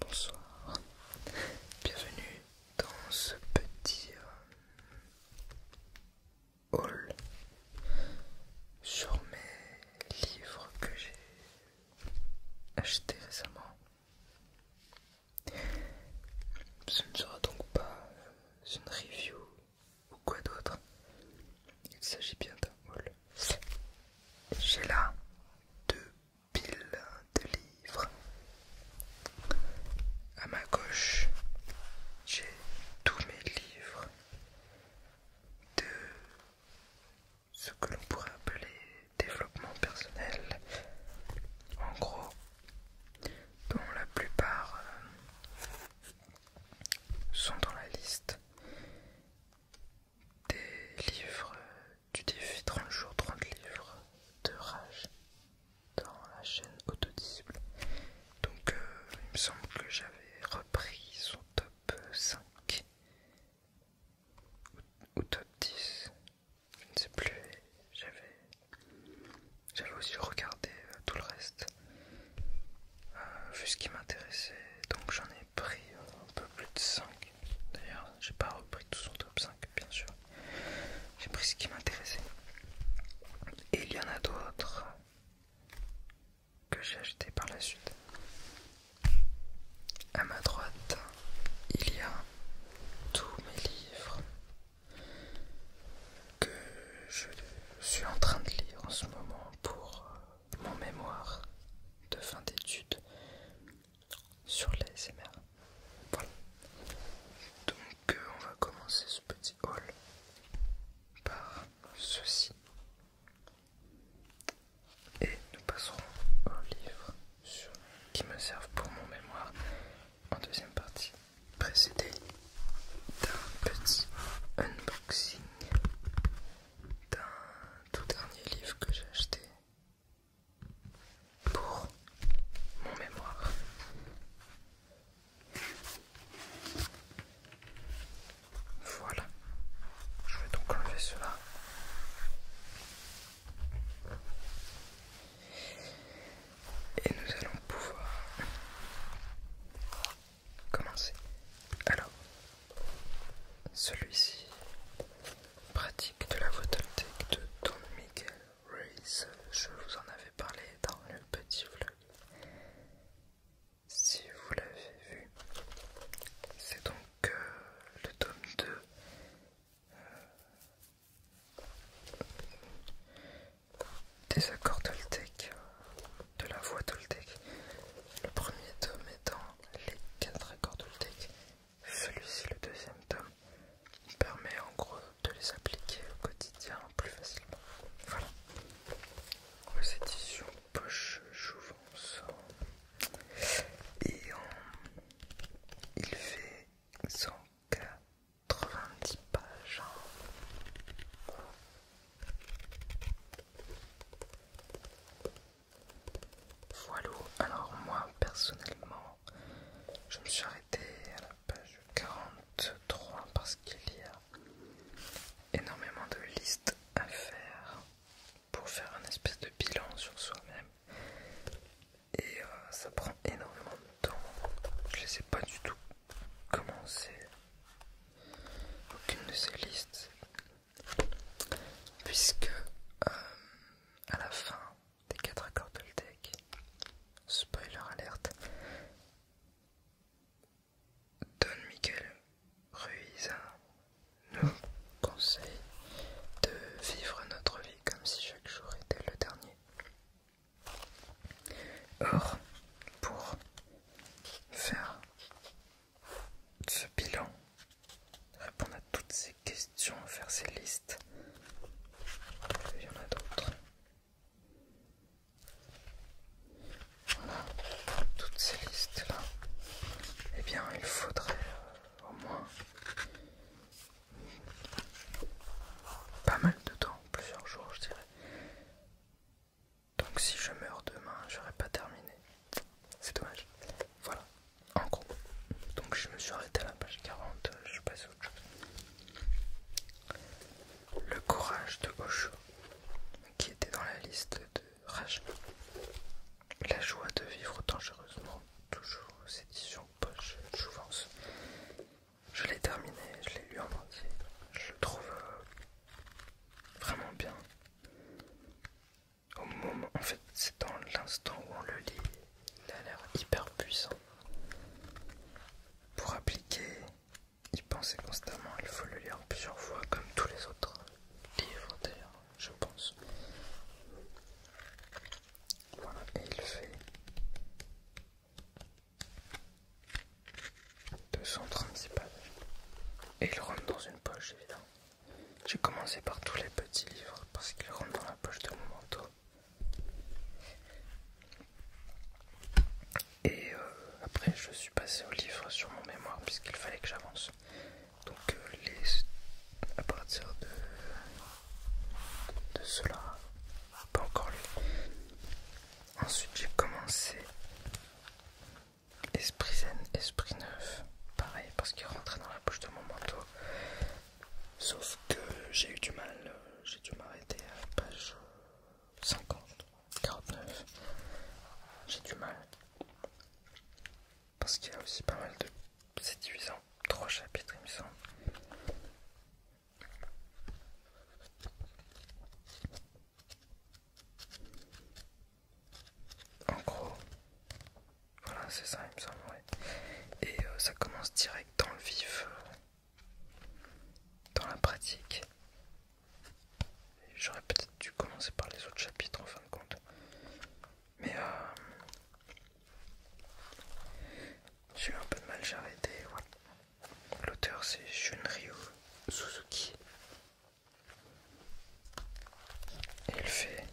Bonsoir, bienvenue dans ce petit euh, hall haul sur mes livres que j'ai achetés récemment. Ce ne sera donc pas une review ou quoi d'autre Il s'agit bien d'un haul. J'ai là deux piles de livres. À ma gauche, j'ai tous mes livres de ce que l'on pourrait appeler développement personnel. En gros, dont la plupart euh, sont dans la liste des livres du défi 30 jours 30 livres de rage dans la chaîne autodisible donc euh, il me semble que j'avais repris son top 5 ou, top 10 je ne sais plus j'avais j'avais aussi regardé euh, tout le reste euh, vu ce qui m'intéressait donc j'en ai pris euh, un peu plus de 5 d'ailleurs j'ai pas repris tout son top 5 bien sûr j'ai pris ce qui m'intéressait et il y en a d'autres que j'ai acheté par la suite à ma droite il y a tous mes livres que je suis en train de lire en ce moment pour euh, mon mémoire de fin d'études sur les SMR. Voilà. Donc euh, on va commencer ce petit haul par ceci. Et nous passerons au livre qui me sert pour mon mémoire en deuxième partie, précédée d'un petit unboxing d'un tout dernier livre que j'ai acheté pour mon mémoire. Voilà, je vais donc enlever cela. Et nous allons pouvoir commencer. Alors, celui-ci pratique de la photovoltaïque de Don Miguel Ruiz. Je vous en avais parlé dans le petit vlog. Si vous l'avez vu, c'est donc euh, le tome 2 des accords toltèques, de la voix toltèque. Le premier tome étant les quatre accords toltèques, celui-ci, le deuxième tome, permet en gros de les appliquer au quotidien plus facilement. Voilà. C'est éditions Poche Jouvence. Et il fait 190 pages. Voilà, alors moi personnellement, je me suis arrêté à la page 43 parce qu'il y a énormément de listes à faire pour faire un espèce de bilan sur soi-même et euh, ça prend énormément de temps. Je les ai pas du tout commencer aucune de ces listes puisque euh, à la fin des quatre accords l'tech, spoiler alerte, Don Miguel Ruiz nous conseille de vivre notre vie comme si chaque jour était le dernier. Or, pour faire ce bilan, répondre à toutes ces questions, faire ces listes, il y en a d'autres. Voilà, toutes ces listes-là, eh bien, il faudrait euh, au moins pas mal de temps, plusieurs jours, je dirais, donc si je meurs demain, je n'aurai pas terminé. C'est dommage. Voilà. En gros. Donc je me suis arrêté à la page 40. Euh, je passe à autre chose. Le courage de Osho, qui était dans la liste de Rachel. La joie de vivre dangereusement, toujours aux éditions Poche Jouvence. Je l'ai terminé, je l'ai lu en entier. Je le trouve euh, vraiment bien. Au moment, en fait, c'est dans l'instant où on le lit, il a l'air hyper puissant. Pour appliquer, il pensait constamment, il faut le lire plusieurs fois, comme tous les autres livres d'ailleurs, je pense. Voilà, et il fait 236 pages. Et il rentre dans une poche, évidemment. J'ai commencé par tous les petits livres parce qu'ils rentrent dans la poche de mon manteau. Et euh, après, je suis passé au livre sur mon mémoire puisqu'il fallait que j'avance. Donc, euh, les... à partir de, de cela, pas encore lu, Ensuite, j'ai commencé Esprit Zen, Esprit Neuf. Pareil, parce qu'il rentrait dans la bouche de mon manteau. Sauf que j'ai eu du mal, euh, j'ai dû m'arrêter à la page 50, 49. J'ai du mal. Parce qu'il y a aussi pas mal de. C'est divisé trois chapitres, il me semble. En gros, voilà, c'est ça, il me semble. Et euh, ça commence direct dans le vif, euh, dans la pratique. J'aurais peut-être dû commencer par les autres chapitres en fin de compte. Mais euh, j'ai eu un peu de mal, j'ai arrêté. L'auteur c'est Shunryu Suzuki. il fait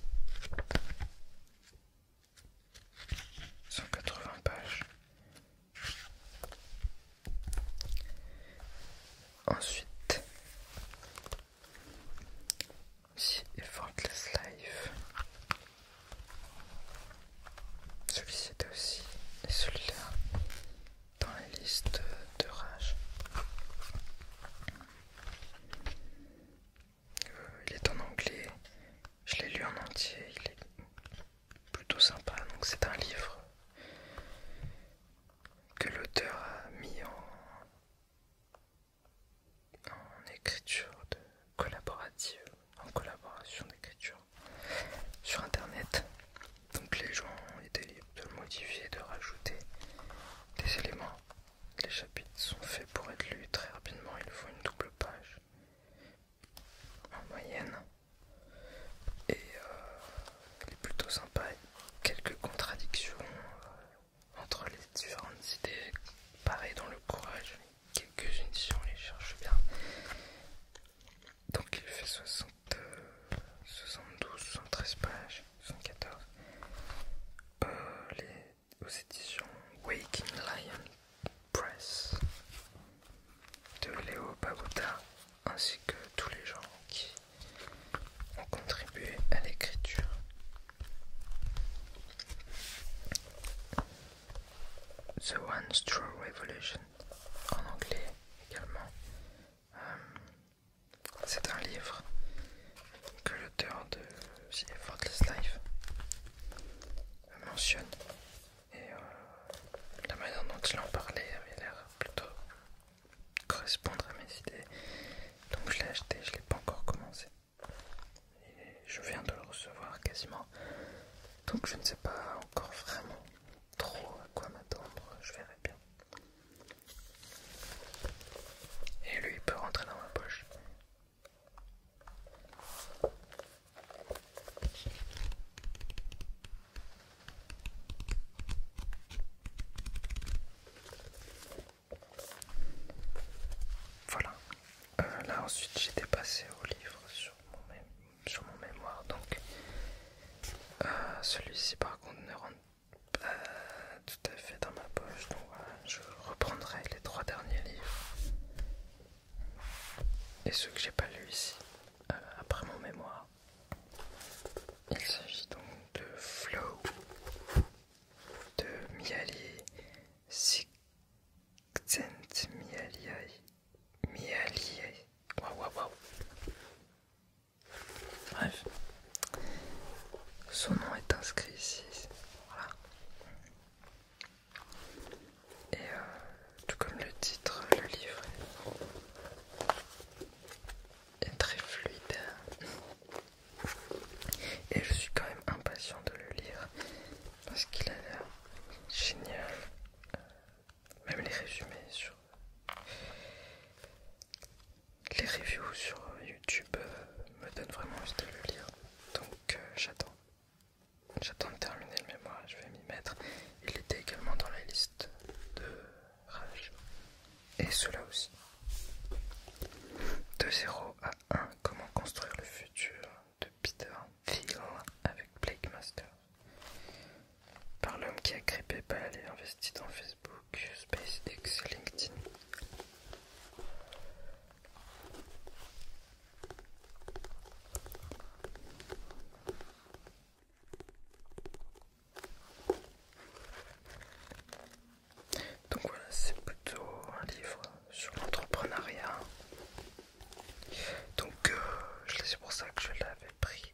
180 pages. Ensuite, The Eventless Life celui-ci était aussi, et celui-là, dans la liste de rage. Euh, il est en anglais, je l'ai lu en entier, il est plutôt sympa, donc c'est un livre que l'auteur a mis en, écriture collaborative en collaboration d'écriture sur internet. Donc les gens étaient libres de modifier, de rajouter des éléments. Les chapitres sont faits pour être lus très rapidement, il faut une double page en moyenne. Et euh, il est plutôt sympa, quelques contradictions euh, entre les différentes idées. Pareil dans le courage, quelques éditions les cherche bien. Donc il fait 72, 73 euh, pages, 74. Euh, aux éditions Waking Lion Press de Léo Babouta, ainsi que tous les gens qui ont contribué à l'écriture. The One True Revolution, en anglais également. Euh, c'est un livre que l'auteur de The Effortless Life mentionne. Et euh, la manière dont il en parlait avait l'air plutôt correspondre à mes idées. Donc je l'ai acheté, je ne l'ai pas encore commencé je viens de le recevoir quasiment. Donc je ne sais pas encore vraiment trop à quoi m'attendre, je verrai bien. Et lui il peut rentrer dans ma poche. Voilà. Euh, là ensuite j'ai dépassé au livre sur mon, mémoire. Donc, euh, celui-ci par contre ne rentre pas tout à fait dans ma poche. Donc je reprendrai les trois derniers livres et ceux que j'ai pas lus ici euh, après mon mémoire. Il s'agit donc de Flow de Miali si Xent mialiai. Waouh, waouh, waouh. Bref. Son nom est inscrit ici. Voilà. Et euh, tout comme le titre, le livre est très fluide. Et je suis quand même impatient de le lire parce qu'il a l'air génial. Même les résumés sur les reviews sur YouTube euh, me donnent vraiment envie de le lire. Donc euh, j'attends. J'attends de terminer le mémoire, je vais m'y mettre. Il était également dans la liste de Rage. Et cela aussi. De 0 à 1, comment construire le futur de Peter Film avec Blake Master Par l'homme qui a grippé PayPal et investi dans Facebook, SpaceX et LinkedIn. Donc voilà, c'est plutôt un livre sur l'entrepreneuriat, donc euh, je c'est pour ça que je l'avais pris.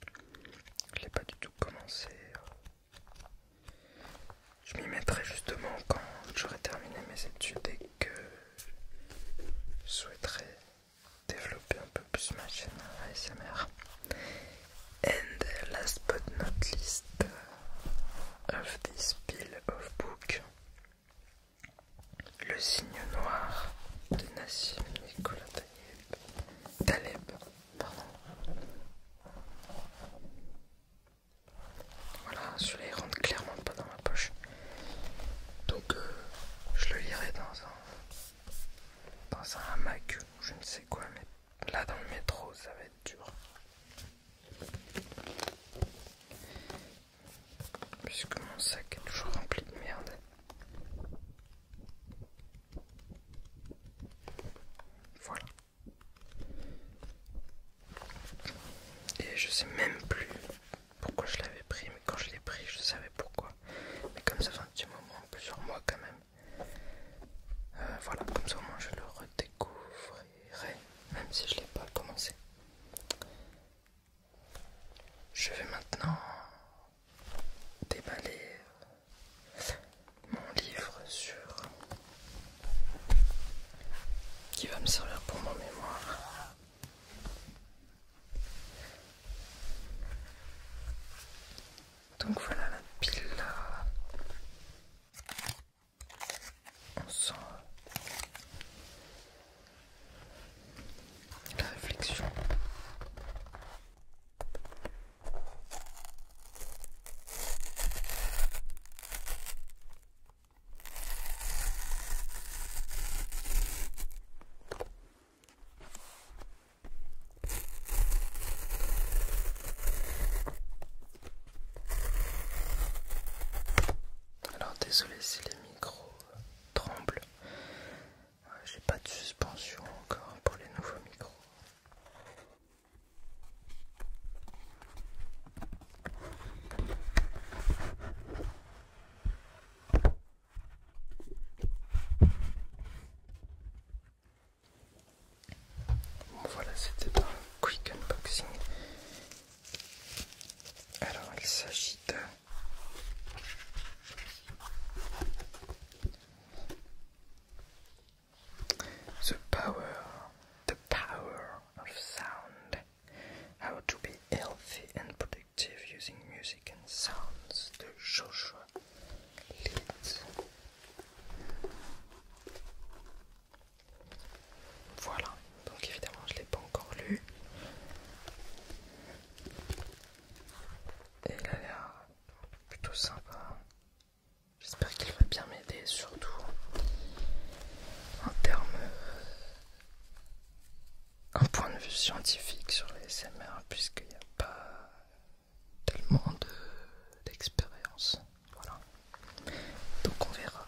Je l'ai pas du tout commencé. Euh. Je m'y mettrai justement quand j'aurai terminé mes études et que je souhaiterais développer un peu plus ma chaîne ASMR. And last but not least of this pile of book le signe noir de Nassim Nicolas Taleb. Voilà, celui-là il rentre clairement pas dans ma poche. Donc euh, je le lirai dans un dans un hamac ou je ne sais quoi, mais là dans le métro ça va être dur puisque mon sac est toujours rempli de merde. Voilà. Et je sais même plus pourquoi je l'avais pris, mais quand je l'ai pris, je savais pourquoi. Mais comme ça fait un petit moment, plusieurs mois quand même. Euh, voilà, comme ça au moins je le redécouvrirai, même si je l'ai pas commencé. Je vais maintenant déballer mon livre sur qui va me servir pour mon mémoire. Donc voilà la pile la réflexion. Alors désolé si les micros euh, tremblent. Euh, j'ai pas de suspension encore pour les nouveaux micros. voilà, c'était un quick unboxing The power, the power of sound. How to be healthy and productive using music and sounds The Joshua Leeds. Voilà, donc évidemment je ne l'ai pas encore lu. Et il a l'air plutôt sympa. J'espère qu'il va bien m'aider, surtout en termes. Euh, un point de vue scientifique sur les SMR, puisqu'il n'y a pas tellement d'expérience. Voilà. Donc on verra.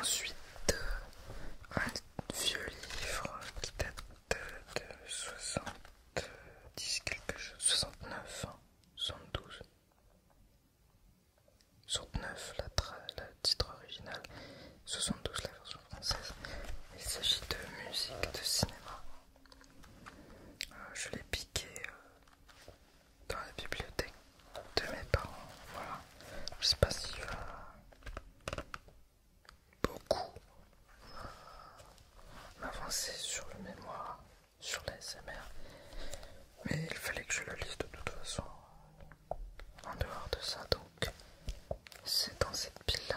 Ensuite, euh, un vieux livre qui date euh, de 70 quelque chose, 69, 72, 69 la, titre original, 72 la version française. Il s'agit de musique de cinéma. Euh, je l'ai piqué dans la bibliothèque de mes parents. Voilà. Je sais pas si va beaucoup m'avancer sur le mémoire, sur l'ASMR, mais il fallait que je le lise de toute façon en dehors de ça, donc c'est dans cette pile là.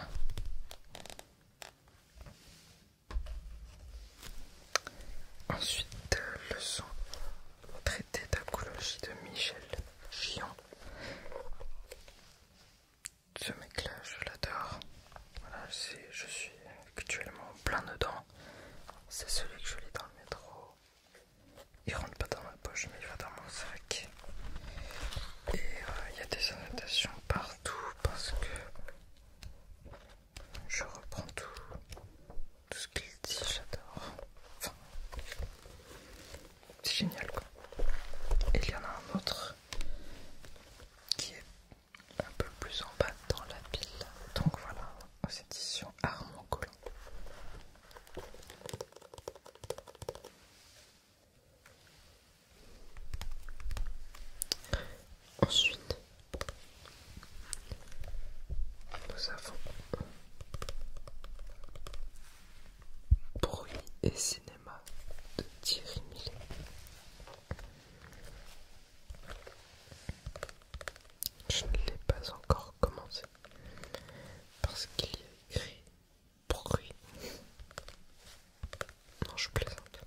Ensuite, le son traité d'apologie de Michel Gion. Ce mec-là, je l'adore. je suis actuellement plein dedans. C'est celui que je lis dans le métro. Il rentre pas dans ma poche, mais il va dans mon sac. Et euh, il y a des annotations partout parce que je reprends tout, tout ce qu'il dit, j'adore. Enfin, c'est génial quoi. Et il y en a un autre qui est un peu plus en bas dans la pile. Donc voilà, aux éditions Armand Collant. Ensuite, nous avons Bruit et cinéma de Thierry Millet. Je ne l'ai pas encore commencé parce qu'il y a écrit bruit je plaisante.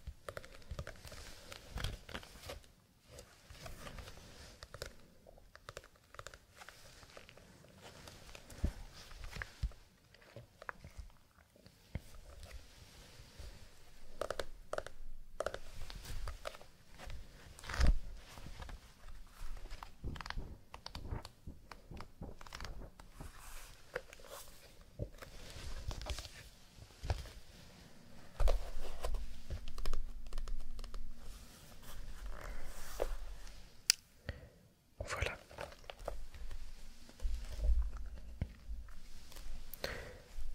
Voilà.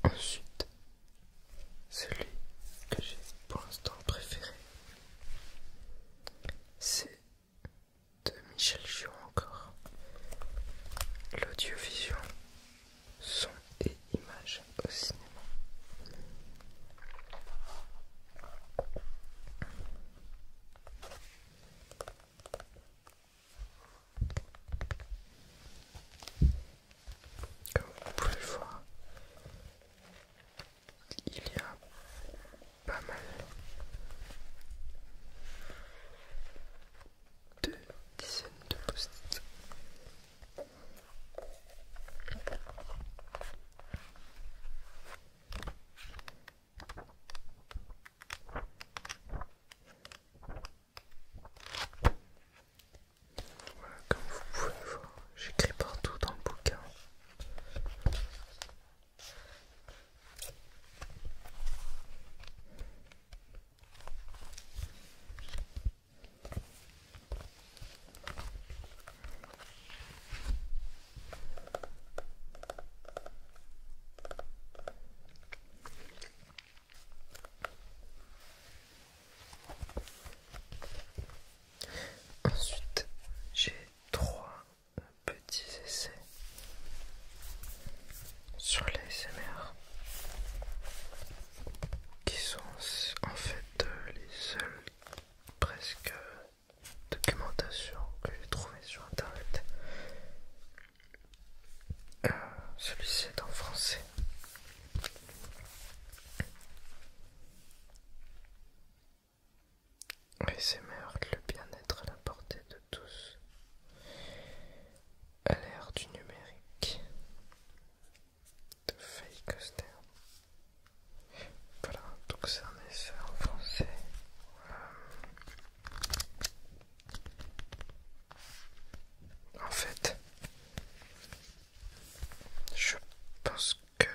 Ensuite, celui que j'ai pour l'instant préféré, c'est de Michel Giron encore, l'audiovision son et images au cinéma. Comme vous pouvez le voir, il y a pas mal deux dizaines de post Voilà, comme vous pouvez le voir, j'écris partout dans le bouquin. Ensuite, j'ai trois petits essais sur les SMR qui sont en fait euh, les seules presque documentations que j'ai trouvées sur internet. Euh, celui-ci est en français. SMR le bien-être à la portée de tous à l'ère du numérique de Faye Coster. Voilà, donc c'est un essai en français. Euh, en fait, je pense que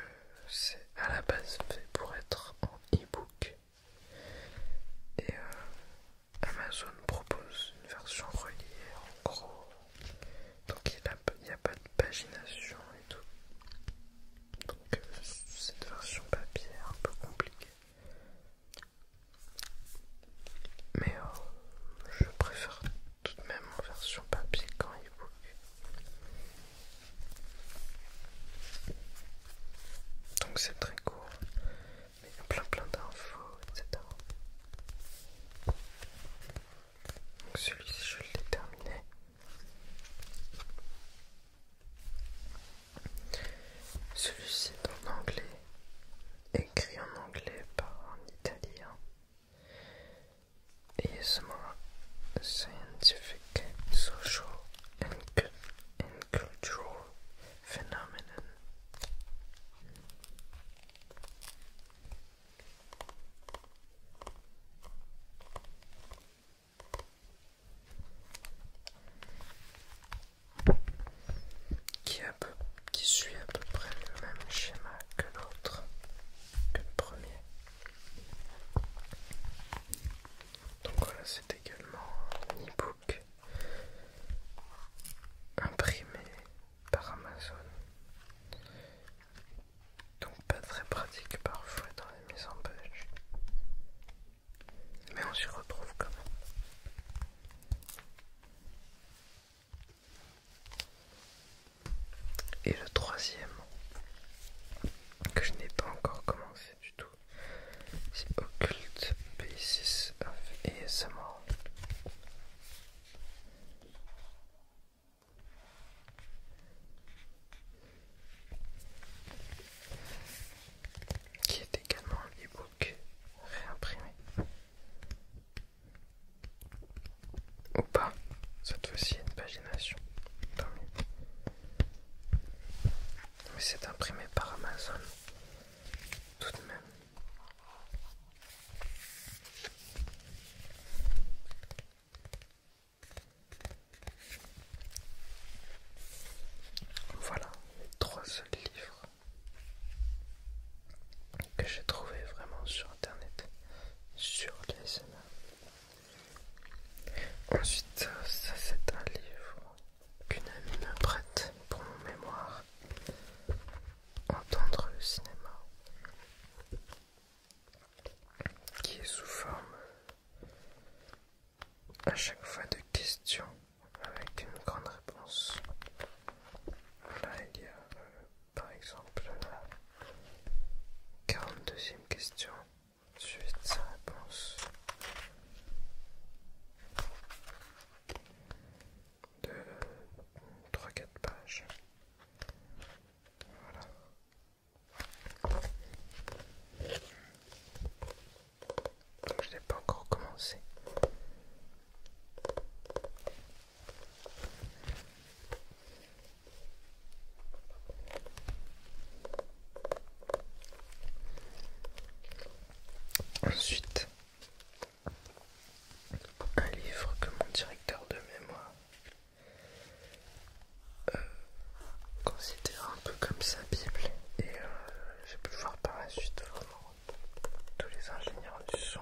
c'est à la base fait pour être en e-book. Et euh, Amazon propose une version reliée en gros. Donc il n'y a, pas de pagination et tout. Donc euh, cette version papier est un peu compliquée. Mais euh, je préfère tout de même en version papier qu'en il book Donc c'est très court il y a plein plein d'infos, etc. Donc celui-ci je l'ai terminé. Celui-ci est en anglais, écrit en anglais par un italien. ASMR Scientific, Social and Cultural Phénomène qui, qui suit à peu près le même schéma que l'autre, que le premier. Donc voilà, c'est également imprimé par Amazon. Donc pas très pratique parfois dans les mises en page. Mais on s'y retrouve quand même. Et le troisième que je n'ai pas encore commencé du tout. C'est Occult Basis of ASMR. Qui est également un e réimprimé. Ou pas, cette fois-ci une pagination mais c'est imprimé par Amazon tout de même. Voilà les trois seuls livres que j'ai trouvé vraiment sur internet sur les Ensuite, ça c'est un livre qu'une amie me prête pour mon mémoire Entendre le cinéma qui est sous forme à chaque fois de questions avec une grande réponse. Là il y a euh, par exemple la 42e question ensuite ça réponse de 3-4 pages. je n'ai pas encore commencé. Ensuite, un livre que mon directeur de mémoire euh, considère un peu comme sa Bible et euh, j'ai pu voir par la suite vraiment tous les ingénieurs du son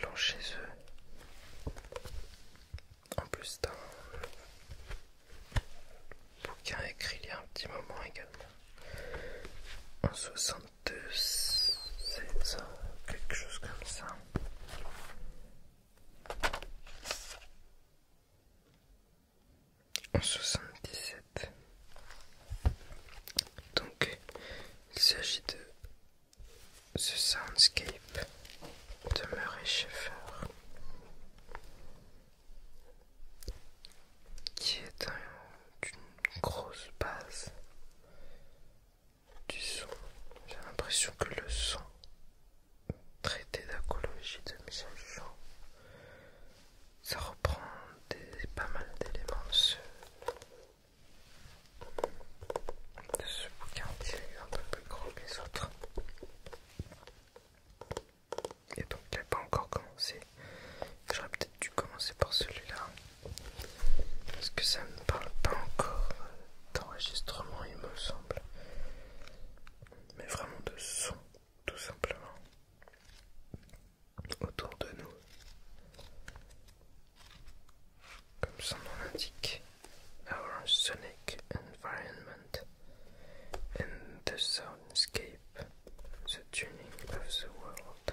l'ont chez eux en plus le bouquin écrit il y a un petit moment également, en 62, quelque chose comme ça. En 77. Donc, il s'agit de The Soundscape de Murray Schaeffer qui est d'une une grosse base du son. J'ai l'impression que le son traité d'acologie de Michel Jean, ça reprend pas mal d'éléments de ce, bouquin qui est un peu plus gros que les autres. Et donc il n'a pas encore commencé. J'aurais peut-être dû commencer par celui-là. Parce que ça ne parle pas encore d'enregistrement il me semble. Mais vraiment de son, tout simplement. Autour de nous. Comme son nom l'indique. Our sonic environment and the soundscape, the tuning of the world.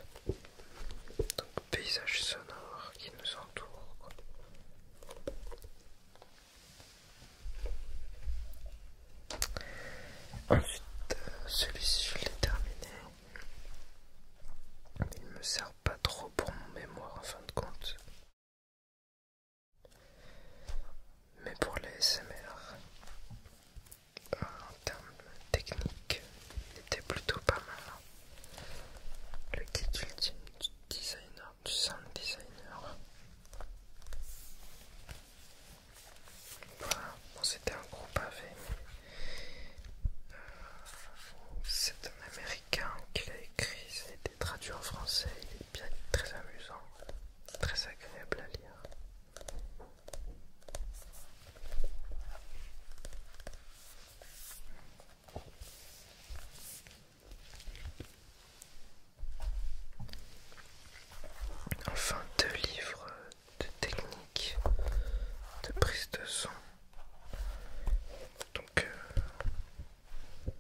Donc paysage sonore qui nous entoure. Ensuite, euh, celui-ci je l'ai terminé. Il me sert pas trop pour mon mémoire en fin de compte. Mais pour les SMR, en termes techniques, il était plutôt pas mal. Le kit ultime du designer, du sound designer. Voilà, c'était un groupe pavé, euh, c'est un américain qui l'a écrit, traduit en français, il est bien très amusant, très agréable à lire. Enfin, deux livres de technique de prise de son. Donc, euh,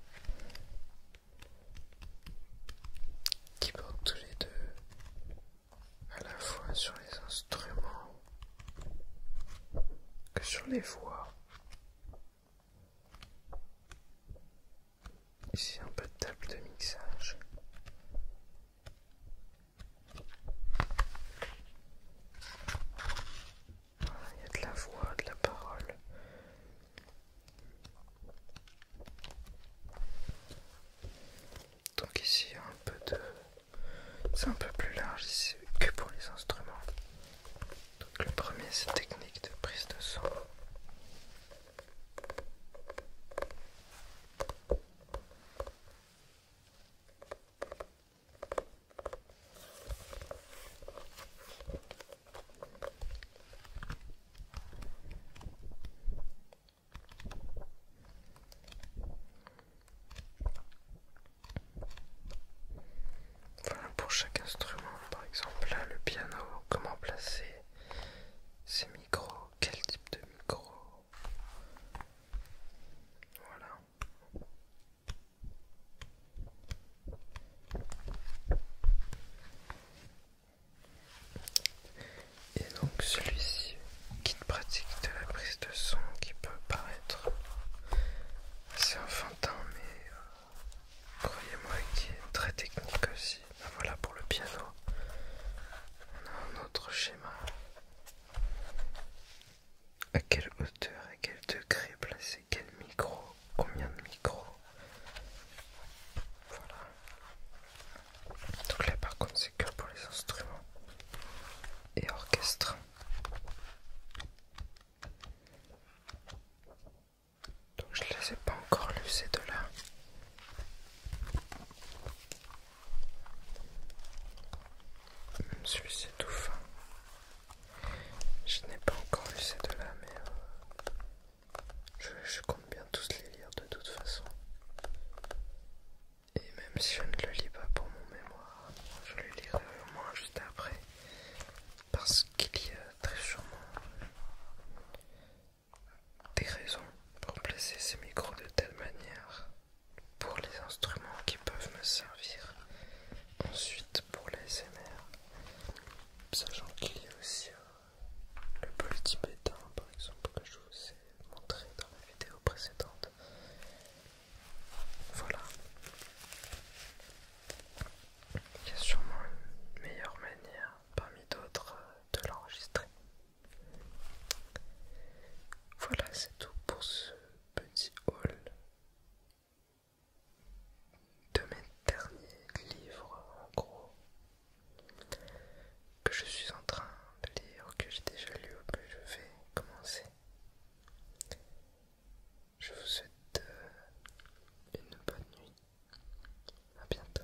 qui portent tous les deux à la fois sur les instruments que sur les voix. Ici un peu de table de mixage. Ah, il y a de la voix, de la parole. Donc ici un peu de... C'est un peu plus large ici que pour les instruments. Donc le premier c'est technique de prise de son pour chaque instrument, par exemple là le piano, comment placer ses micros, quel type de micro. Voilà. Et donc celui-ci, qui pratique de la prise de son qui peut paraître assez enfantin mais euh, croyez-moi qui est très technique aussi. Ben voilà pour le piano. On a un autre schéma. À quelle hauteur, à quel degré placer quel micro, combien de micros. Voilà. Donc là par contre c'est que pour les instruments et orchestre. Donc je les ai pas encore lus ces deux là. Même celui-ci tout fin. Je n'ai pas encore lu ces deux-là, mais euh, je, je compte bien tous les lire de toute façon. Et même si je ne le lis pas pour mon mémoire, je le lirai au moins juste après. Parce qu'il y a très sûrement des raisons pour placer ces micros de telle manière pour les instruments qui peuvent me servir ensuite pour pour l'ASMR, sachant qu'il y a aussi euh, le bol tibétain par exemple que je vous ai montré dans la vidéo précédente. Voilà. Il y a sûrement une meilleure manière parmi d'autres euh, de l'enregistrer. Voilà, c'est tout pour ce petit haul de mes derniers livres en gros que je suis en train de lire, que j'ai déjà lu ou que je vais commencer. Je vous souhaite euh, une bonne nuit. À bientôt.